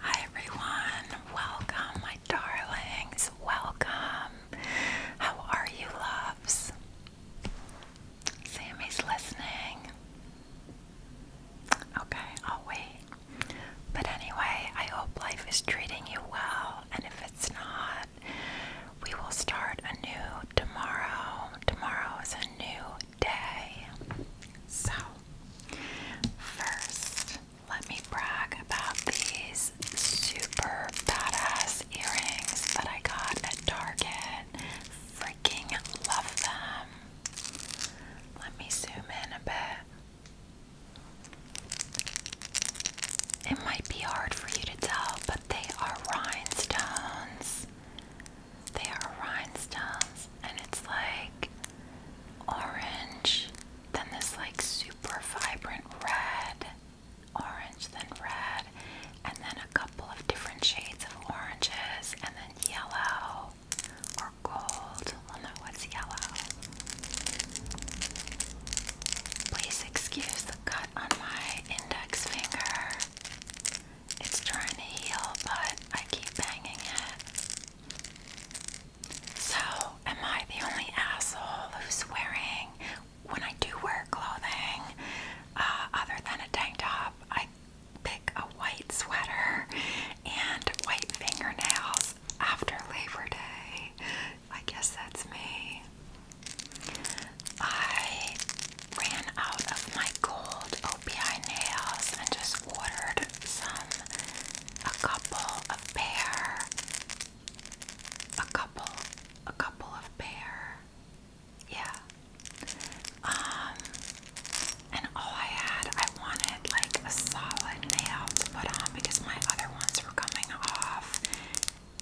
Hi everyone, welcome my darlings, welcome. How are you, loves? Sammy's listening. Okay, I'll wait. But anyway, I hope life is treating you well, and if it's not, we will start anew tomorrow. Tomorrow is a new so, first, let me brag about these super badass earrings that I got at Target. Freaking love them. Let me zoom in a bit. It might be hard for you to tell, but they are rhinestones. They are rhinestones, and it's like orange, then this like super vibrant red, orange, then red, and then a couple of different shades of oranges, and then yellow or gold. Well, no, what's yellow? Please excuse the cut on my index finger. It's trying to heal, but I keep banging it. So, am I the only asshole who's wearing, when I do wear clothing, uh, other than a tank top, I pick a white sweater and white fingernails after Labor Day? I guess that's me. I ran out of my gold OPI nails and just ordered some, a couple of pair, a couple, a couple of pair. yeah. Um, and all I had, I wanted like a solid nail to put on because my other ones were coming off,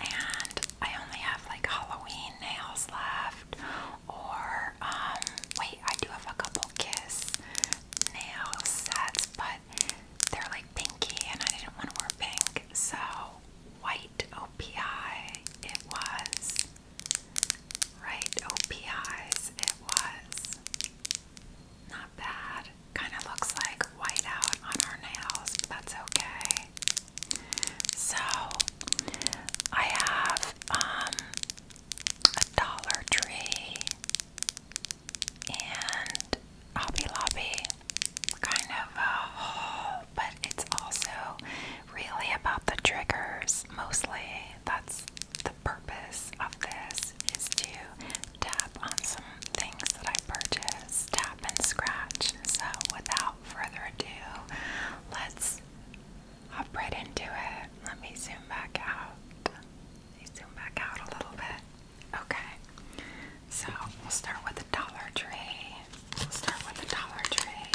and I only have like Halloween nails left, or um, wait I do have a couple kiss nail sets but they're like pinky and I didn't want to wear pink so white OPI it was right opi, it was not bad kind of looks like white out on our nails but that's okay so I have um a Dollar Tree and Hobby Lobby kind of uh, a haul, but it's also really about the triggers mostly. That's the purpose of this is to tap on some things that I purchased, tap and scratch. So without further ado, let's I'll into it. Let me zoom back out. zoom back out a little bit. Okay. So we'll start with the Dollar Tree. We'll start with the Dollar Tree.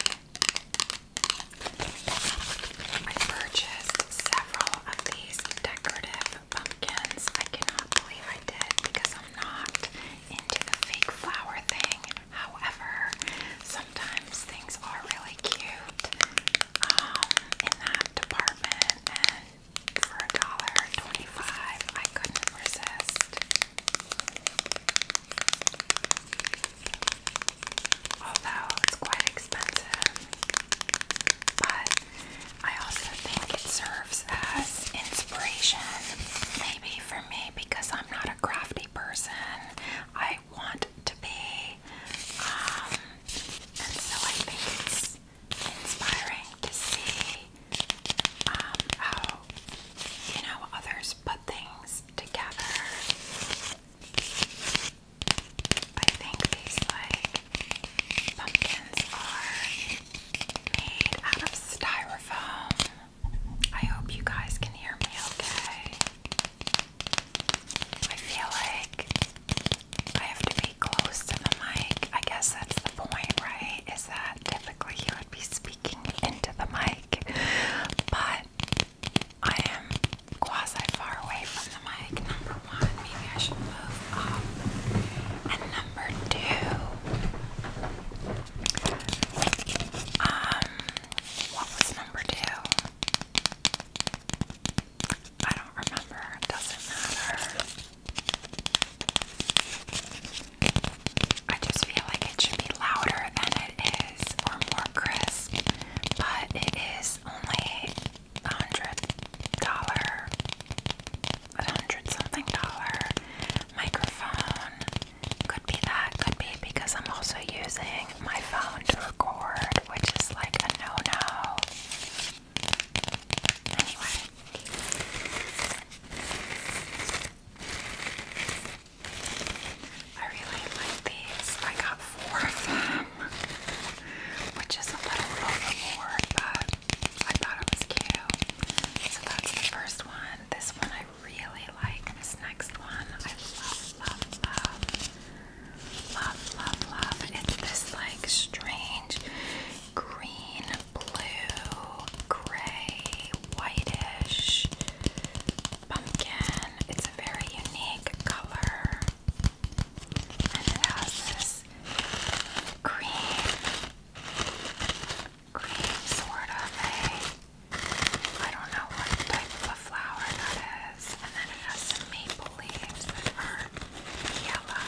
I purchased several of these decorative pumpkins. I cannot believe I did because I'm not into the fake flower thing. However, sometimes things are really cute in that department, for a dollar twenty-five, I couldn't resist. Although it's quite expensive, but I also think it serves as inspiration, maybe for me because I'm not a crafty person. I I want to be. Um, and so I think it's inspiring to see um, how, you know, others put things together. I think these, like, pumpkins are made of styrofoam. I hope you guys can hear me okay. I feel like I have to be close to the mic. I guess that's the point, right? Is that typically he would be speaking into the mic, but I am quasi far away from the mic. Number one, maybe I should move up. And number two, um, what was number two? I don't remember, it doesn't matter. I just feel like it should be louder than it is or more crisp, but it is only a hundred dollar, a hundred something dollar microphone. Could be that, could be because I'm also using my phone to record which is like a no no. Anyway. I really like these. I got four of them, which is a little overboard, but I thought it was cute. So that's the first one. This one I really like. This next one I love, love, love. Love, love, love. It's this like strange green, blue, gray, whitish pumpkin. It's a very unique color. And it has this green, green sort of a I don't know what type of flower that is. And then it has some maple leaves that are yellow,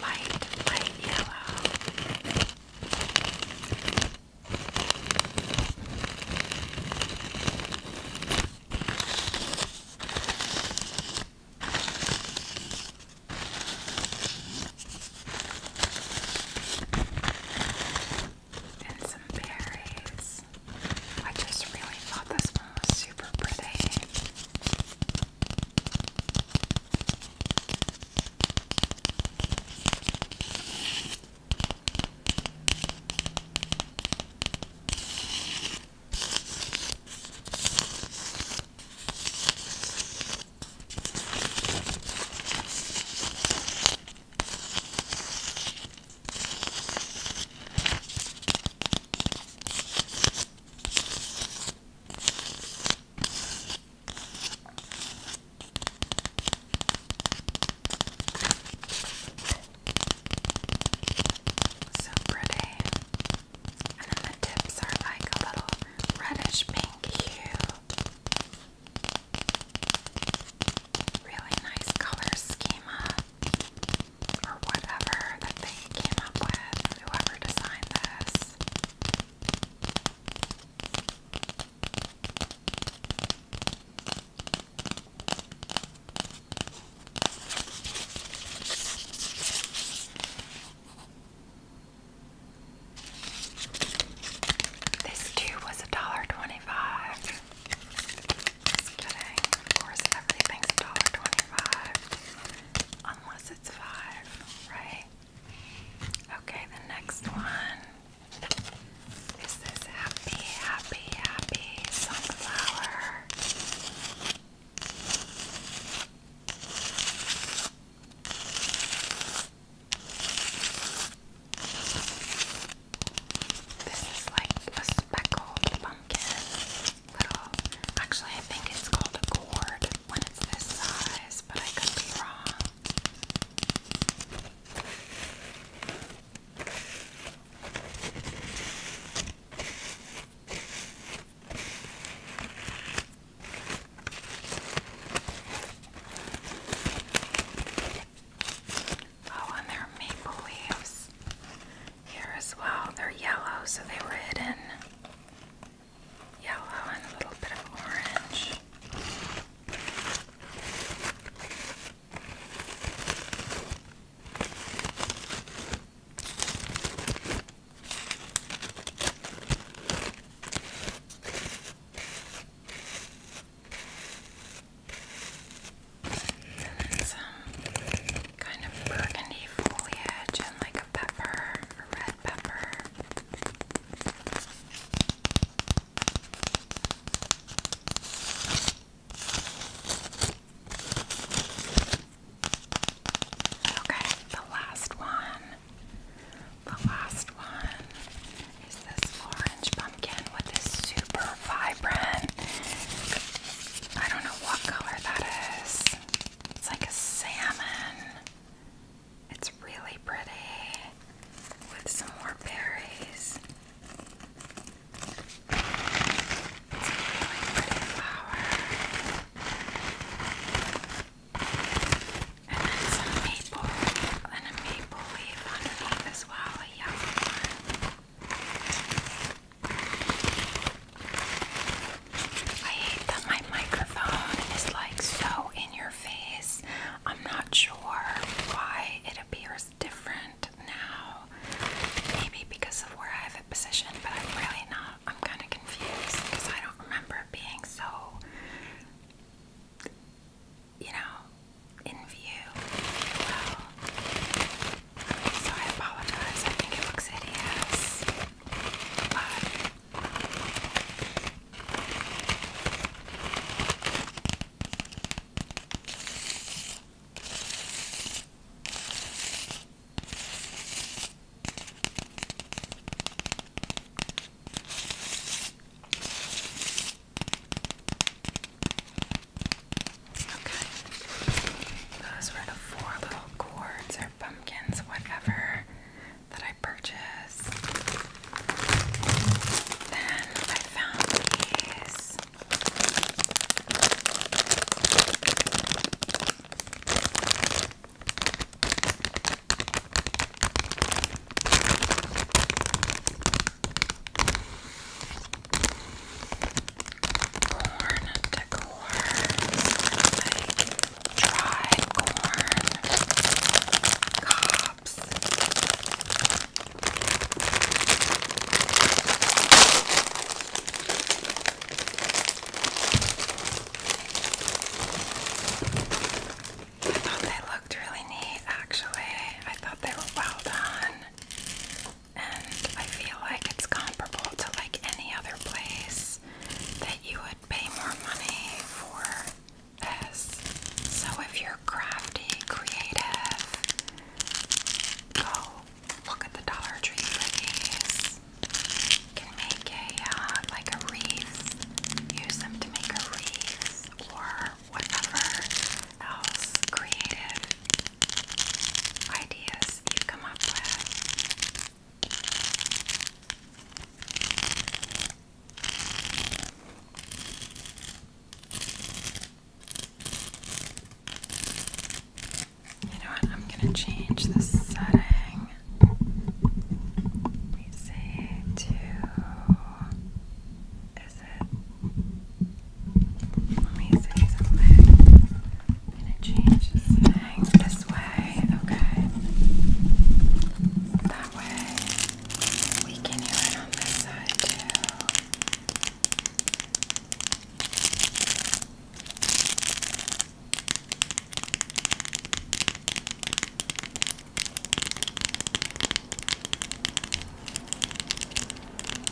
light, light yellow and some berries. I just really thought this one was super pretty. So pretty. And then the tips are like a little reddish pink hue really nice color schema or whatever that they came up with, whoever designed this. This too was a dollar twenty-five. Of course, everything's $1.25. Unless it's 5 right? Okay, the next one is this happy, happy, happy sunflower. This is like a speckled pumpkin. Little, actually, I think it's called a gourd when it's this size, but I could be wrong. Oh, and there are maple leaves here as well. They're yellow, so they were hidden. Yellow and a little bit of orange. And then some kind of burgundy foliage and like a pepper, a red pepper. Okay, the last one. The last one is this orange pumpkin with this super vibrant. I don't know what color that is. It's like a salmon. It's really pretty with some more berries. It's a really pretty flower. And then some maple and a maple leaf underneath as well, a yellow one. I hate that my microphone is like so in your face. I'm not sure why it appears different now. Maybe because of where I have it positioned, but I'm really not. I'm kind of confused because I don't remember being so you know, in view, So I apologize. I think it looks hideous. But Okay. Those were the four little gourds or pumpkins, whatever, that I purchased. Then I found these corn decors, like dry corn cobs. I thought they looked really neat actually. I thought they were well done and I feel like it's comparable to like any other place that you would pay more money for So if you're crafty, creative, go look at the Dollar Tree for these. can make a uh, like a wreath. Use them to make a wreath or whatever else creative ideas you come up with. You know what? I'm going to change the setting. Let me say to is it? Let me see I'm gonna change this way, okay? That way we can hear it on this side too.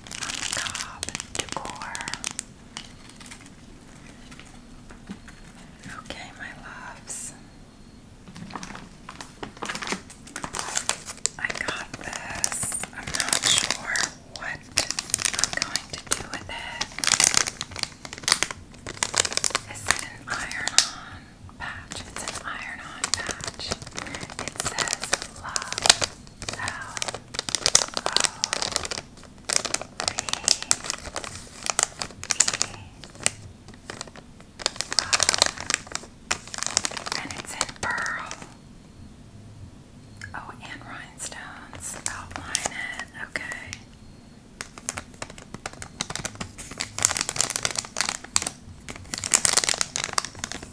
macabre decor. Okay, my loves. I got this. I'm not sure what I'm going to do with it. Is an iron-on patch? It's an iron-on patch. It says love L O V E Wow. And it's in pearl. Oh, and rhinestones. Outline it. Okay.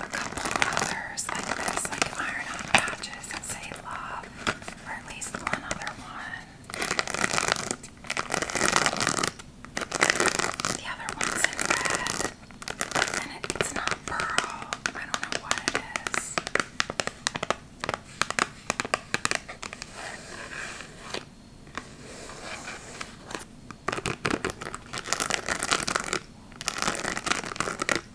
a couple others like this, like iron on patches that say love, or at least one other one. The other one's in red, and it's not pearl. I don't know what it is.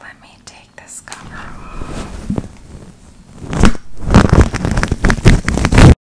Let me take this cover off.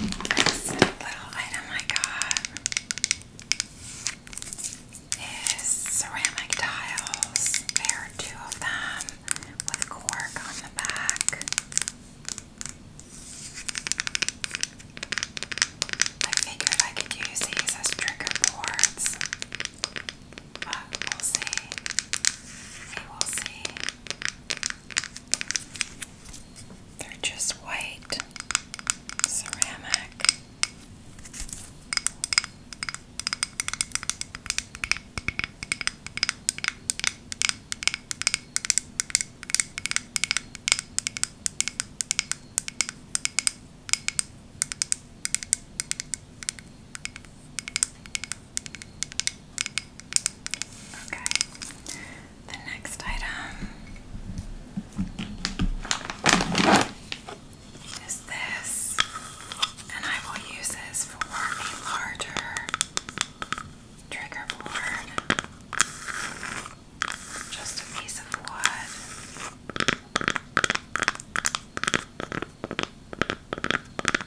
Next little item I got is ceramic tiles. There are two of them with cork on the back. I figured I could use these as trigger boards. But we'll see. We will see. They're just white ceramic. Okay, the next item is this, and I will use this for a larger trigger board. Just a piece of wood.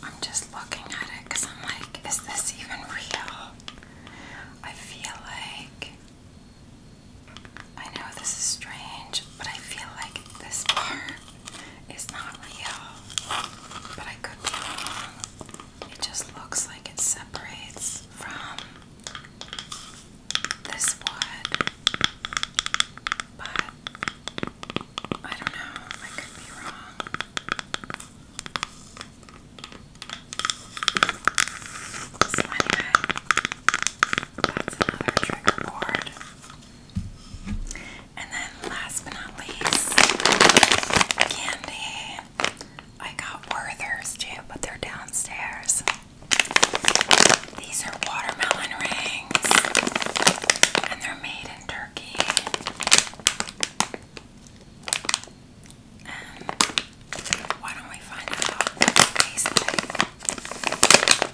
I'm just looking at it because I'm like, is this even real? I feel like. I know this is strange, but I feel like this part it's not real, but I could be wrong. It just looks like it separates from this wood, but I don't know, I could be wrong. So, anyway, that's another trigger board. And then last but not least, candy. I got Werther's too, but they're downstairs. These are watermelon rings, and they're made in Turkey. And why don't we find out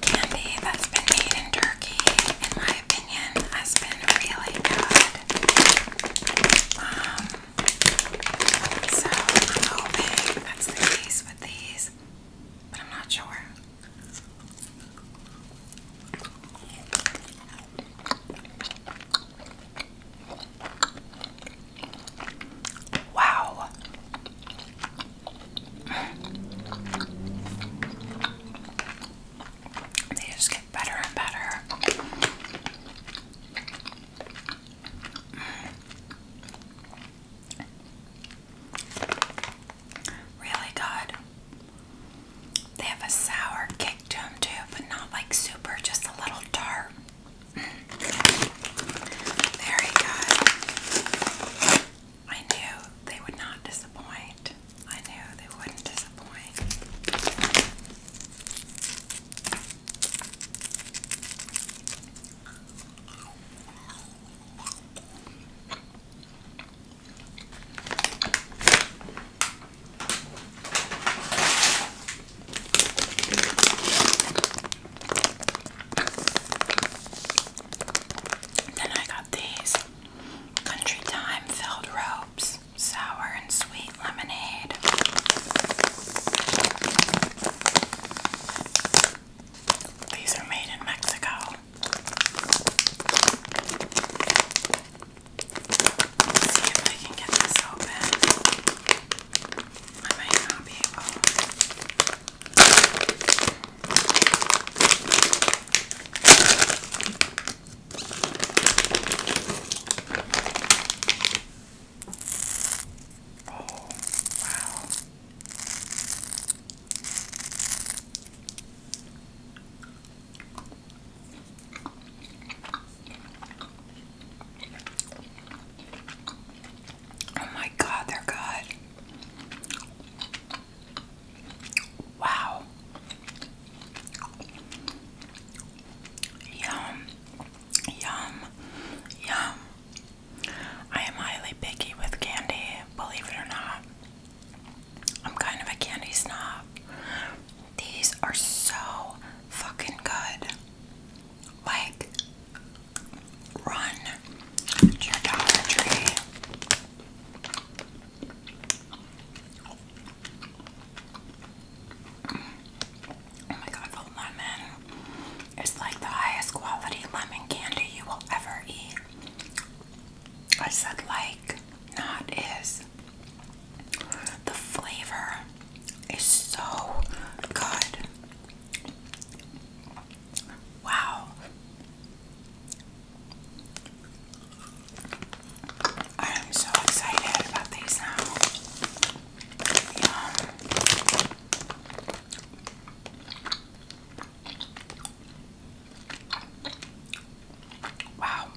candy that's been made in Turkey, in my opinion, has been really good. Um, so I'm hoping that's the case with these, but I'm not sure. Wow. They just get better and better. Really good. They have a sour kick to them too, but not like super, just a little tart. Very good. I knew they would not disappoint. I knew they wouldn't disappoint. Then I got these Country Time filled ropes, sour and sweet lemonade. These are made in Mexico. see if I can get this open. I might not be able. Oh, wow. Oh my god, they're good. Wow. Yum. Yum. Yum. I am highly picky with candy, believe it or not. I'm kind of a candy snob. These are so fucking good. Like, run to your Tree. Oh my god, the lemon is like the highest quality lemon candy you will ever eat. I said like, not is. The flavor is so good. Wow. I am so excited about these now. Yum. Wow.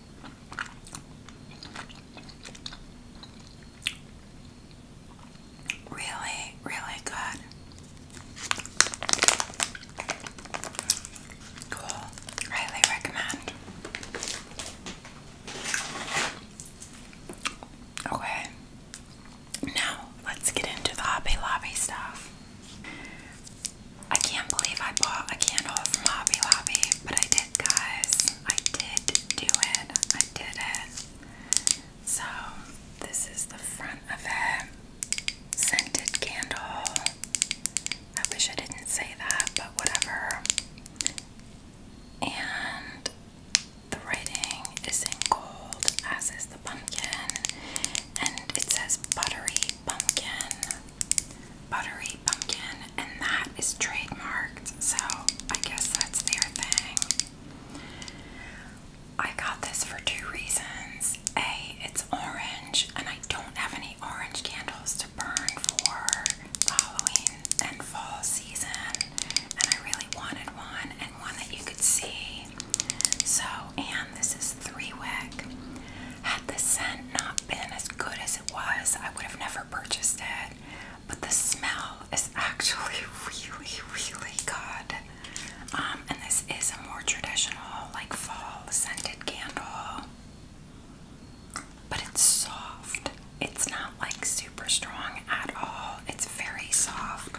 Really, really good. Cool. Highly recommend. Okay. Now, let's get into the Hobby Lobby stuff. I can't believe I bought a candle from Hobby Lobby, but I did, guys. I did do it. I did it. So, this is the front of it scented candle. I wish I didn't say that, but whatever. And the writing is in gold, as is the pumpkin. And it says buttery pumpkin. Buttery pumpkin. And that is trademarked, so I guess that's their thing. I got this for two reasons. A, it's orange, and I don't have any orange candles to burn for Halloween and fall season, and I really wanted one and one that you could see. So, and this is three wick. Had the scent not been as good as it was, I would have never purchased it. But the smell is actually really, really good. Um, and this is a more traditional, like fall scented candle. But it's soft. It's not like super strong at all. It's very soft.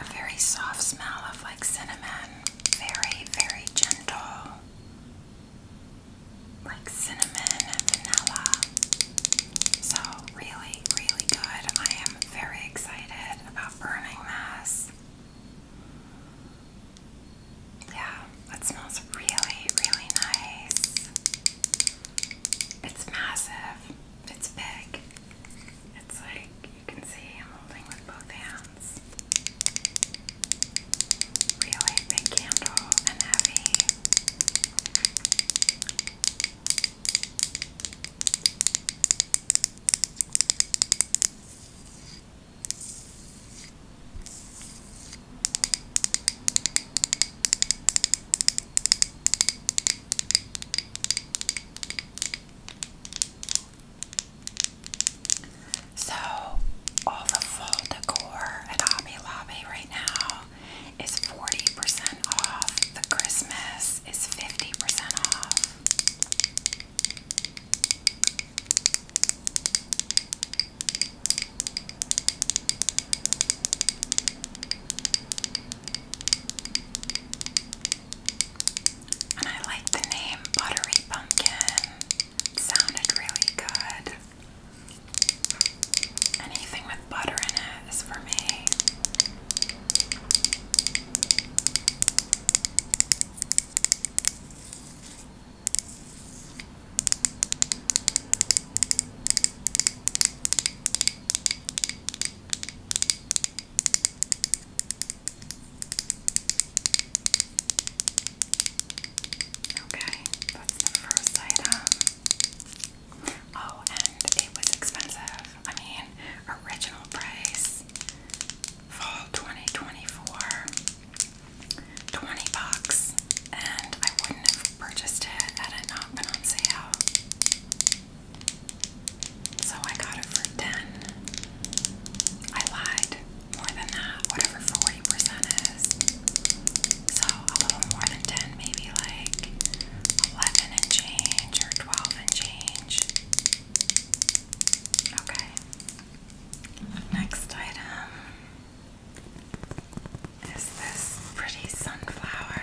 A very soft smell of like cinnamon. Very, very gentle. Like cinnamon and vanilla. So, really, really good. I am very excited about burning this. Yeah, that smells really, really nice. It's massive. It's big. It's like you can see I'm holding with both hands. Really big candle and heavy. So, all the fall decor at Hobby Lobby right now is 40% off. The Christmas is 50% off. And I like the name Buttery Pumpkin. sounded really good. Anything with butter in it is for me. Okay, that's the first item. Oh, and it was expensive. I mean, original price fall 2024, 20 bucks, and I wouldn't have purchased it had it not been on sale. So I got it for 10. I lied. More than that, whatever 40% is. So a little more than 10, maybe like 11 and change or 12 and change. Okay. Next item is this pretty sunflower.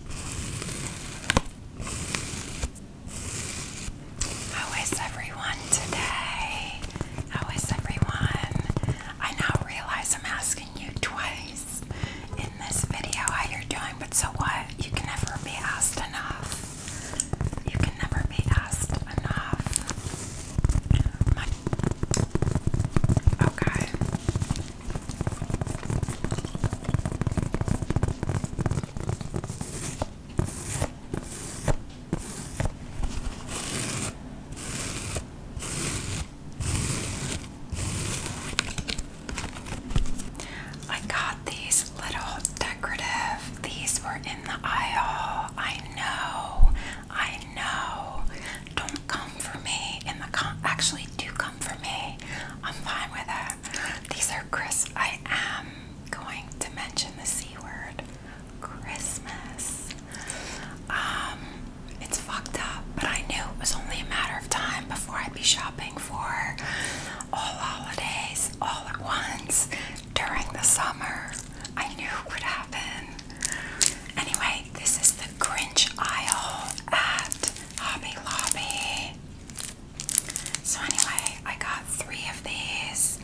How is everyone today? How is everyone? I now realize I'm asking you twice in this video how you're doing, but so what? You can never be asked enough. You can never be asked enough. okay. I got these little decorative, these were in the aisle. I know, I know. Don't come for me and the com actually do come for me. I'm fine with it. These are Chris. I am going to mention the C word. Christmas. Um, it's fucked up, but I knew it was only a matter of time before I'd be shopping for all holidays all at once during the summer. I knew it would happen. Anyway, this is the. Grinch aisle at Hobby Lobby. So anyway, I got three of these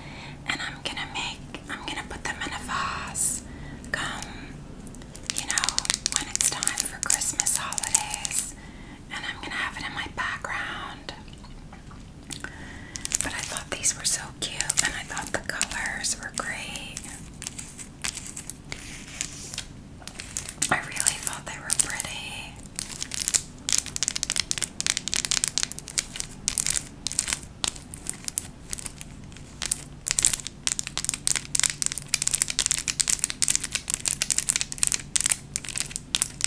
and I'm gonna make I'm gonna put them in a vase. Come, you know, when it's time for Christmas holidays, and I'm gonna have it in my background. But I thought these were so cute and I thought the colors were great. I really thought they were pretty.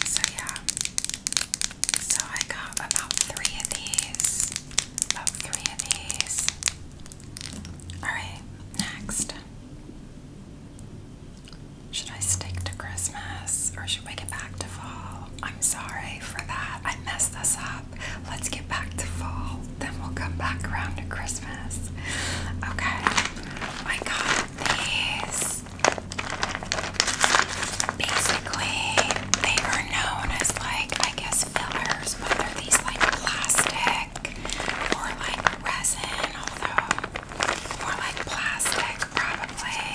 So, yeah, so I got about three of these. About three of these. Alright, next. Should I stick to Christmas or should we get back to fall? I'm sorry for that. I messed this up. Let's get back to fall. Then we'll come back around to Christmas. Okay. I got these. Basically, they are known as like, I guess, fillers, but they're these like plastic more like resin, although more like plastic probably.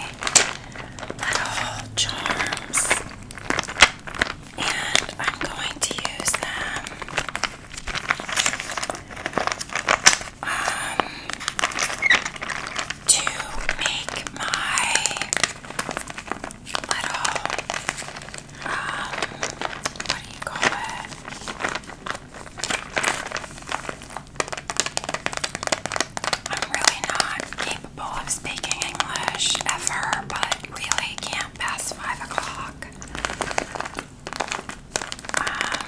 Little charms. And I'm going to use them um, to make my little, um, what do you call it? I'm really not capable of speaking English ever, but really can't pass five o'clock. Um,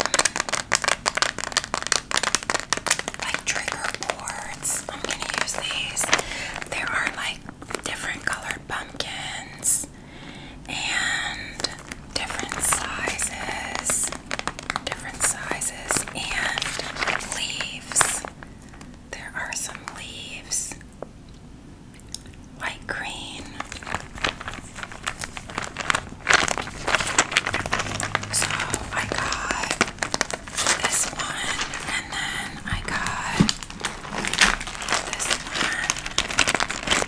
like trigger boards, I'm gonna use these. There are like different colored pumpkins and different sizes, different sizes, and leaves. There are some leaves, white, green. So I got this one, and then I got this one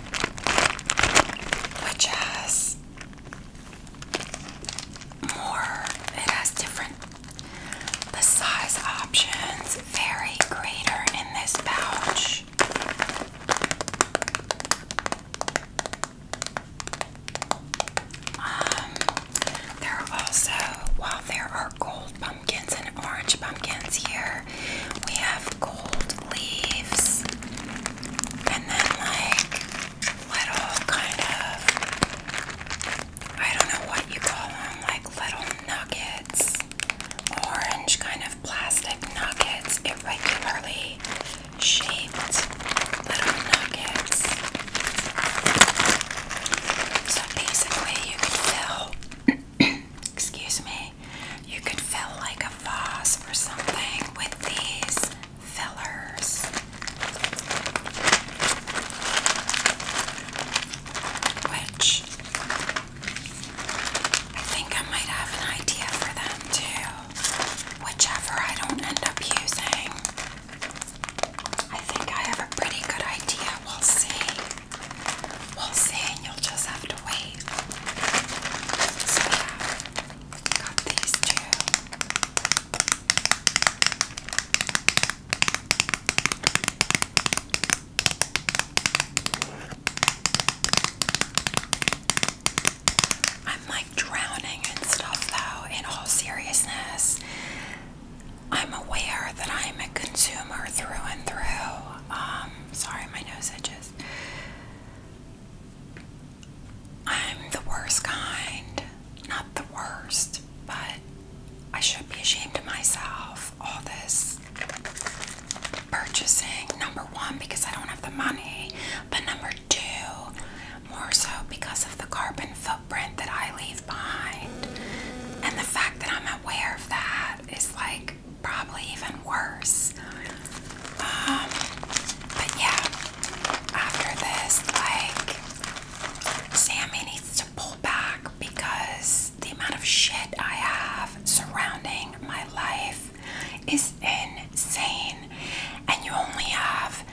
which has more, it has different, the size options vary greater in this pouch. Um, there are also, while there are gold pumpkins and orange pumpkins here, we have gold leaves and then like little kind of I don't know what you call them, like little nuggets, orange kind of plastic nuggets, irregularly shaped little nuggets. So basically you can fill excuse me you could fill like a vase or something with these fillers. Which I think I might have an idea for them too. Whichever I don't end up using. I think I have a pretty good idea. We'll see. We'll you'll just have to wait. So yeah, got these two. I'm like drowning and stuff though, in all seriousness. I'm aware that I'm a consumer through and through. Um, sorry, my nose itches. I'm the worst kind. Not the worst, but I should be ashamed of myself. All this purchasing, number one, because I don't have the money, but number two, more so because of the carbon footprint that I leave behind. And the fact that I'm aware of that is like probably even worse. Um, but yeah, after this, like, Sammy needs to pull back because the amount of shit I have surrounding my life is insane, and you only have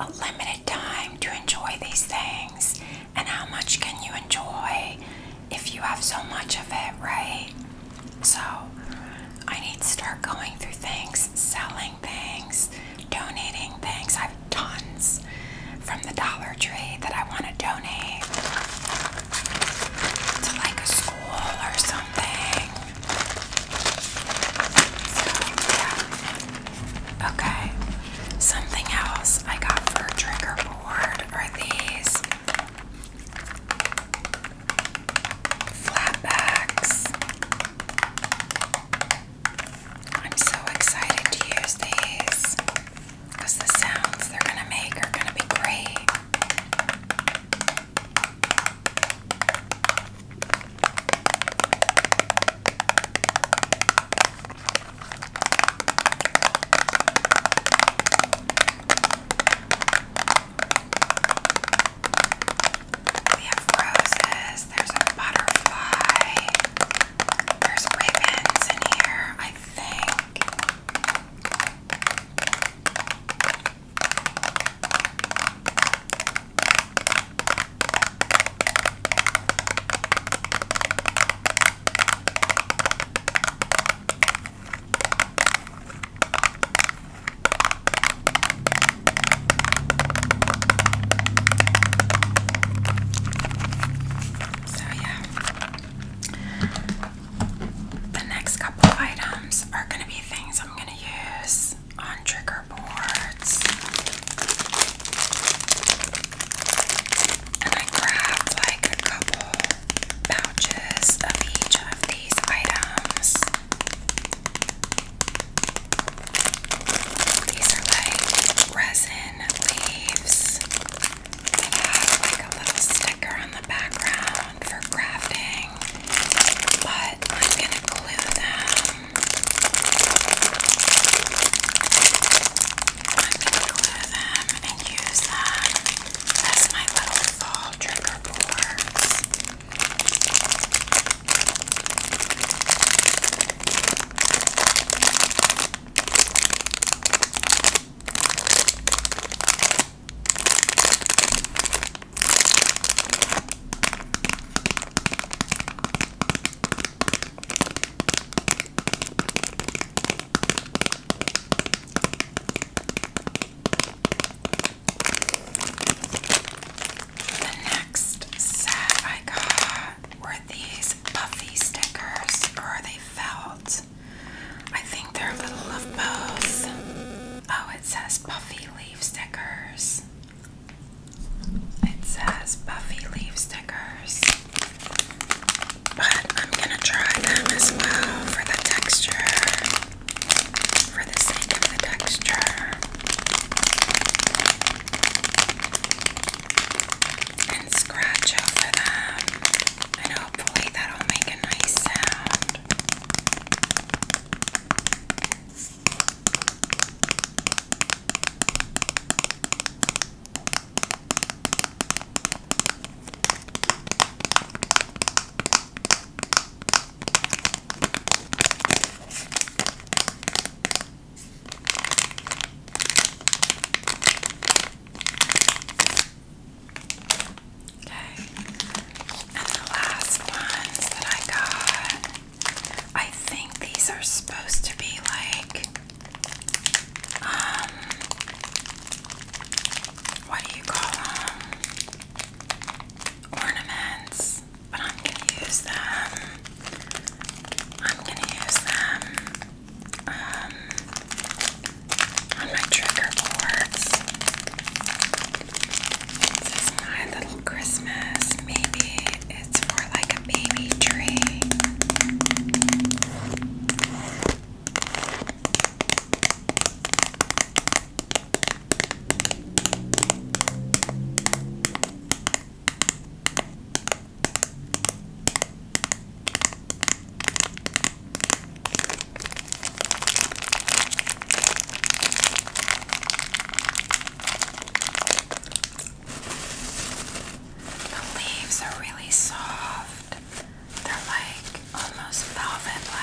a limited time to enjoy these things. And how much can you enjoy if you have so much of it, right? So I need to start going through things, selling things, donating things. I have tons from the Dollar Tree that I want to donate to like a school or something. Okay. Something else I got a trigger board are these flatbacks. I'm so excited to use these because the sounds they're going to make are going to be great. We have roses, there's a butterfly, there's ribbons in here, I think. So, yeah, the next couple items are going to be things I'm going to use on trigger boards. And I grabbed like a couple pouches of each of these items. These are like resin leaves that have like a little sticker on the background for crafting, but I'm gonna glue them. I'm gonna glue them and use them as my little fall trigger pullers. The next set I got were these puffy stickers, or are they felt? I think they're a little of both. Oh, it says puffy leaf stickers. It says puffy leaf stickers. But I'm gonna try them as well for the texture for the sake of the texture and scratch over them and hopefully that'll make a nice sound. Okay, and the last ones that I got, I think these are supposed to be like, um, what do you call them? Um, ornaments, but I'm gonna use them. I'm gonna use them um, on my trigger boards. my little Christmas. Maybe it's for like a baby tree. The leaves are really soft they're like almost velvet like.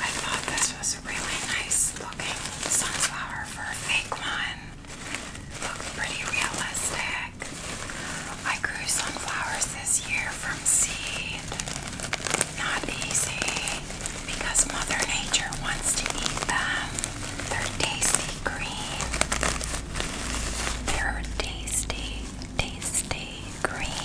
I thought this was a really nice looking sunflower for a fake one. Looks pretty realistic. I grew sunflowers this year from seed. Not easy because Mother Nature wants to eat them. Um, They're tasty green. They're tasty, tasty green.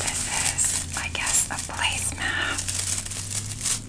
This is, I guess, a placemat.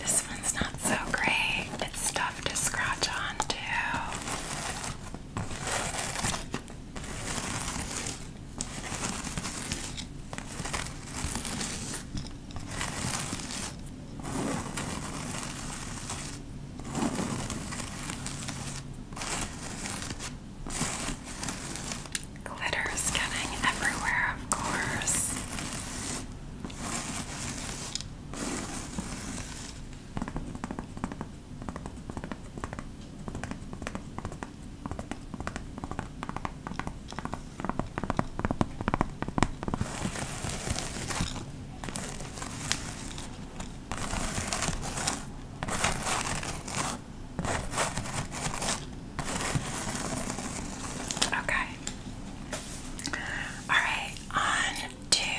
This one's not so great. It's tough to scratch onto. Glitters getting everywhere, of course. Okay. Alright, on to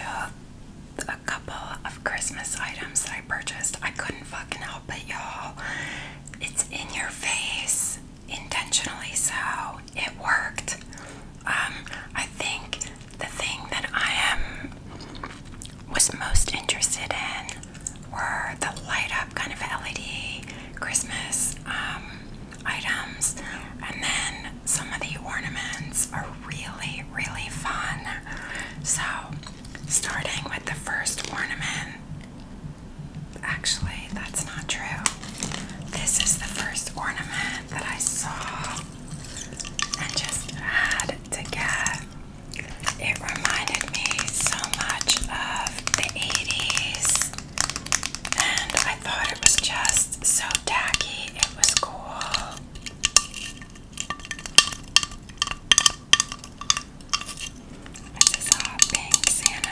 a couple of Christmas items that I purchased. I couldn't fucking help it, y'all. It's in your face, intentionally so. It worked. Um, I think the thing that I am was most interested in were the light up kind of LED Christmas um, items, and then some of the ornaments are really, really fun. So, starting with the first ornament, actually, that's not true. This is the first ornament that I saw and just had to get. It reminded me so much of the 80s, and I thought it was just so tacky, it was cool. This is all pink Santa.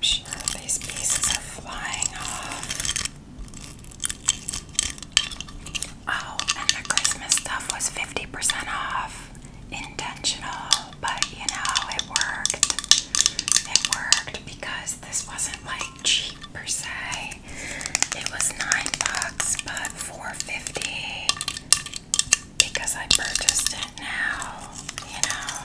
sure these pieces are flying off. Oh, and the Christmas stuff was 50% off. Intentional, but you know, it worked. It worked because this wasn't like cheap per se. It was nine bucks, but 450 because I purchased it now, you know.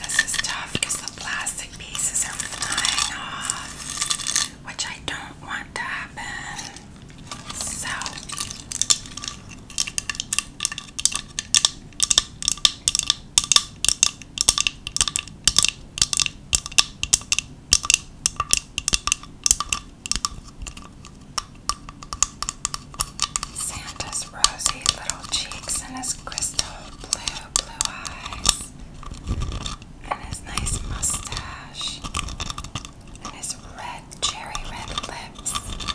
this is tough plastic pieces are flying off, which I don't want to happen. So, Santa's rosy little cheeks and his crystal blue, blue eyes, and his nice mustache, and his red, cherry red lips.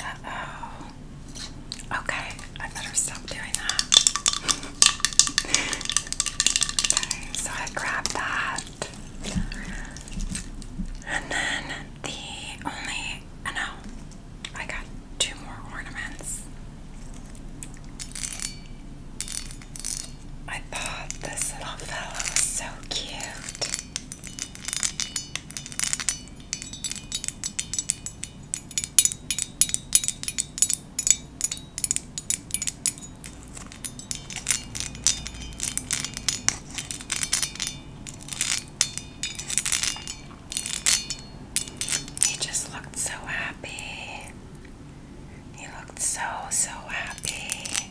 Uh oh. Okay, I better stop doing that. so I grabbed that. And then the only, oh no, I got two more ornaments. I thought this little fellow was so cute. He just looked so happy. He looked so, so happy.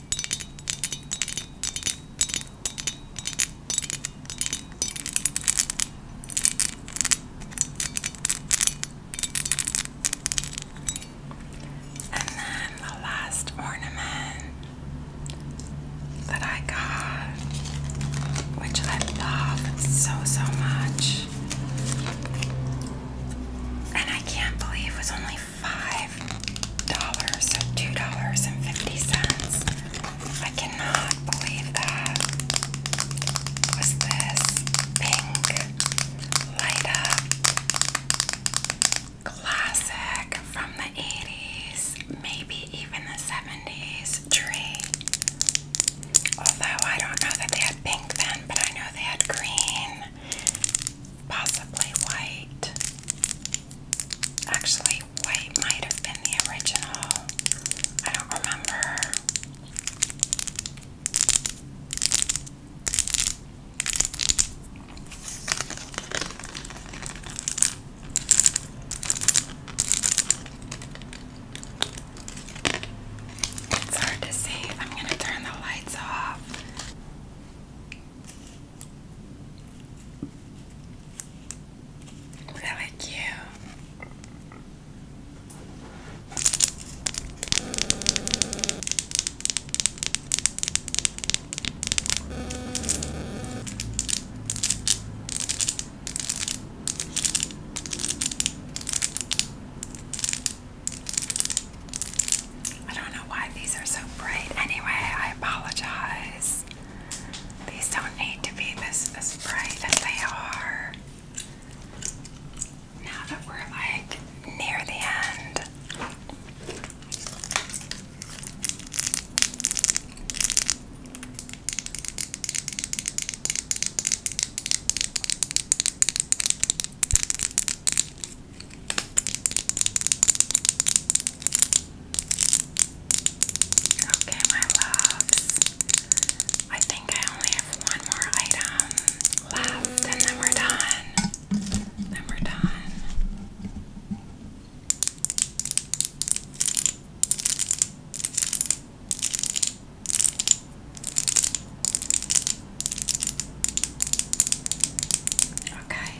And then the last ornament that I got, which I love so, so much, and I can't believe it was only five dollars, so two dollars and fifty cents. I cannot believe that. Was this pink light up classic from the 80s, maybe even the 70s tree? Although I don't know that they had pink then, but I know they had green possibly white. Actually, white might have been the original. I don't remember. It's hard to see. I'm going to turn the lights off. Really cute. I don't know why these are so bright. Anyway, I apologize. These don't need to be this as bright as they are. Now that we're like near the end. Okay, my loves. I think I only have one more item left, and then we're done. Then we're done. Okay,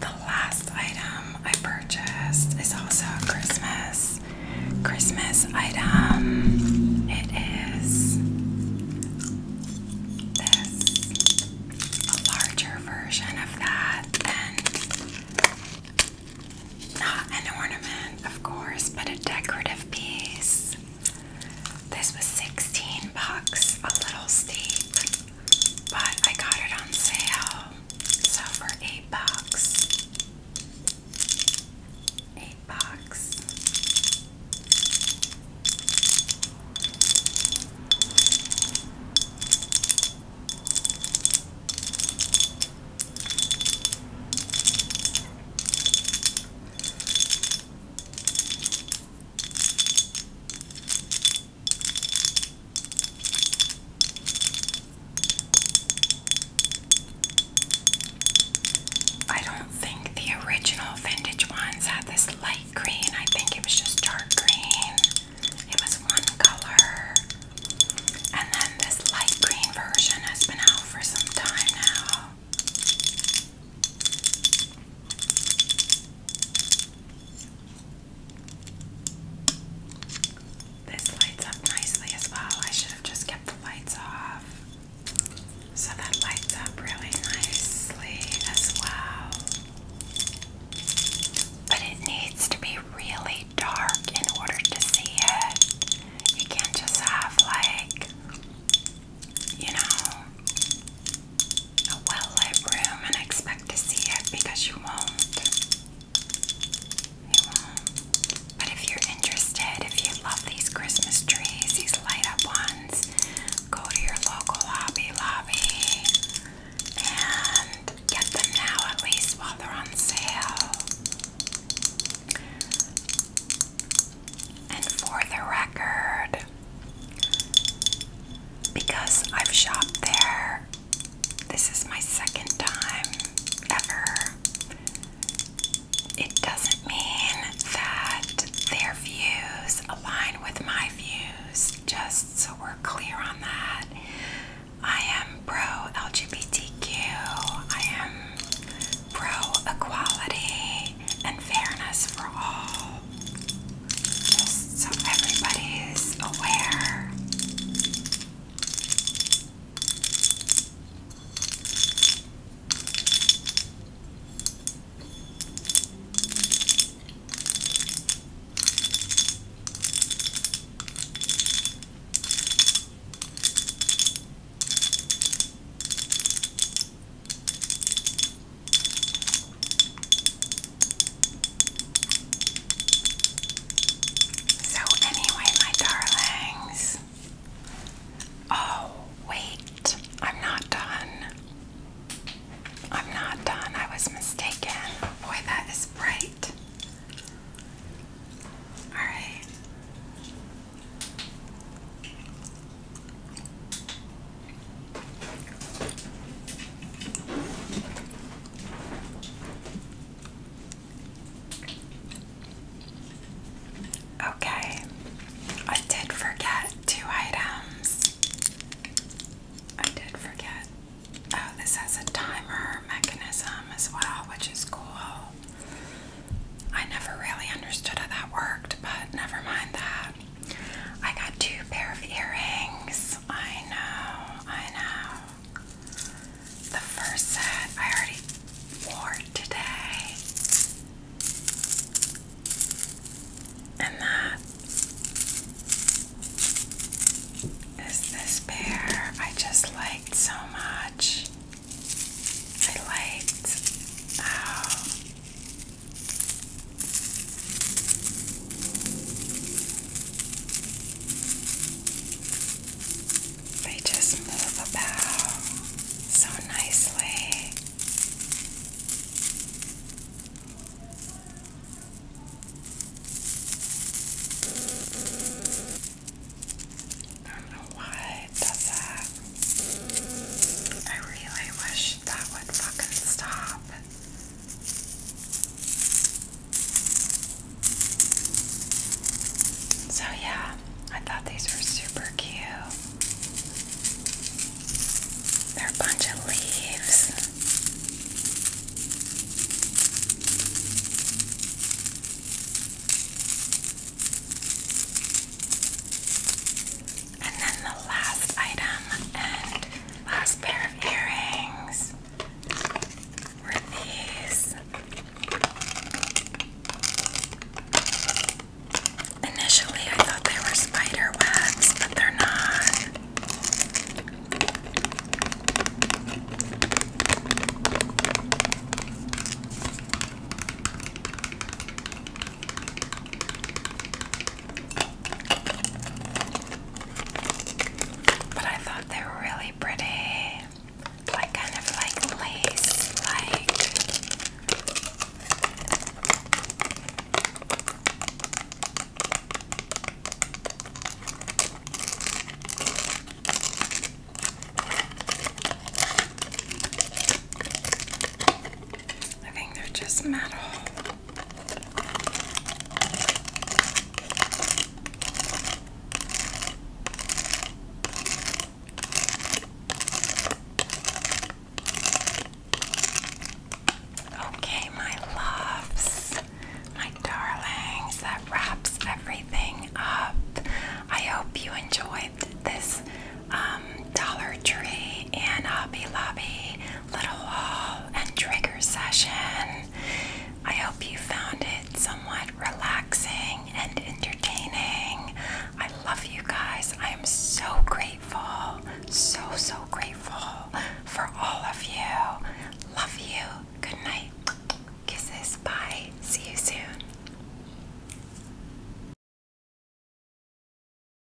the last item I purchased is also a Christmas Christmas item. It is this a larger version of that and not an ornament, of course, but a decorative piece. This was 16 bucks, a little steep, but I got it on sale. So for 8 bucks. 8 bucks. I don't think the original vintage ones had this light green. I think it was just dark green. It was one color. And then this light green version has been out for some time now. This lights up nicely as well. I should have just kept the lights off. So that lights up really nicely as well. But it needs to be really dark in order to see it. You can't just have, like, you know, a well lit room and expect to see it because you won't. You won't. But if you're interested, if you love these Christmas trees, these light up ones, go to your local Hobby Lobby and get them now at least while they're on sale. And for the record, because I've shopped there, this is my second time ever. It doesn't mean that their views align with my views, just so we're clear on that. I am pro LGBTQ, I am pro equality, and fairness for all, just so everybody is aware. So, anyway, my darlings. Oh, wait, I'm not done. I'm not done. I was mistaken. Boy, that is bright. Alright. Okay, I did forget two items. I did forget. Oh, this has a timer mechanism as well, which is cool. I never really understood how that worked, but never mind that. I got two pair of earrings. I know, I know. The first set I already wore today. And that is this pair I just liked so much. I liked they just move about so nicely. I don't know why it does that. I really wish that would fucking stop. So, yeah, I thought these were super cute. They're a bunch of leaves. And then the last item and last pair of earrings were these. Initially, I thought they were spider webs, but they're not. But I thought they were really pretty. Like kind of like lace, like I think they're just metal. Okay, my loves, my darlings, that wraps everything up. I hope you enjoyed this um, Dollar Tree and Hobby Lobby little haul uh, and trigger session. I hope you found it somewhat relaxing and entertaining. I love you guys. I am so grateful, so, so grateful for all of you. Love you. Good night. Kisses. Bye. See you soon.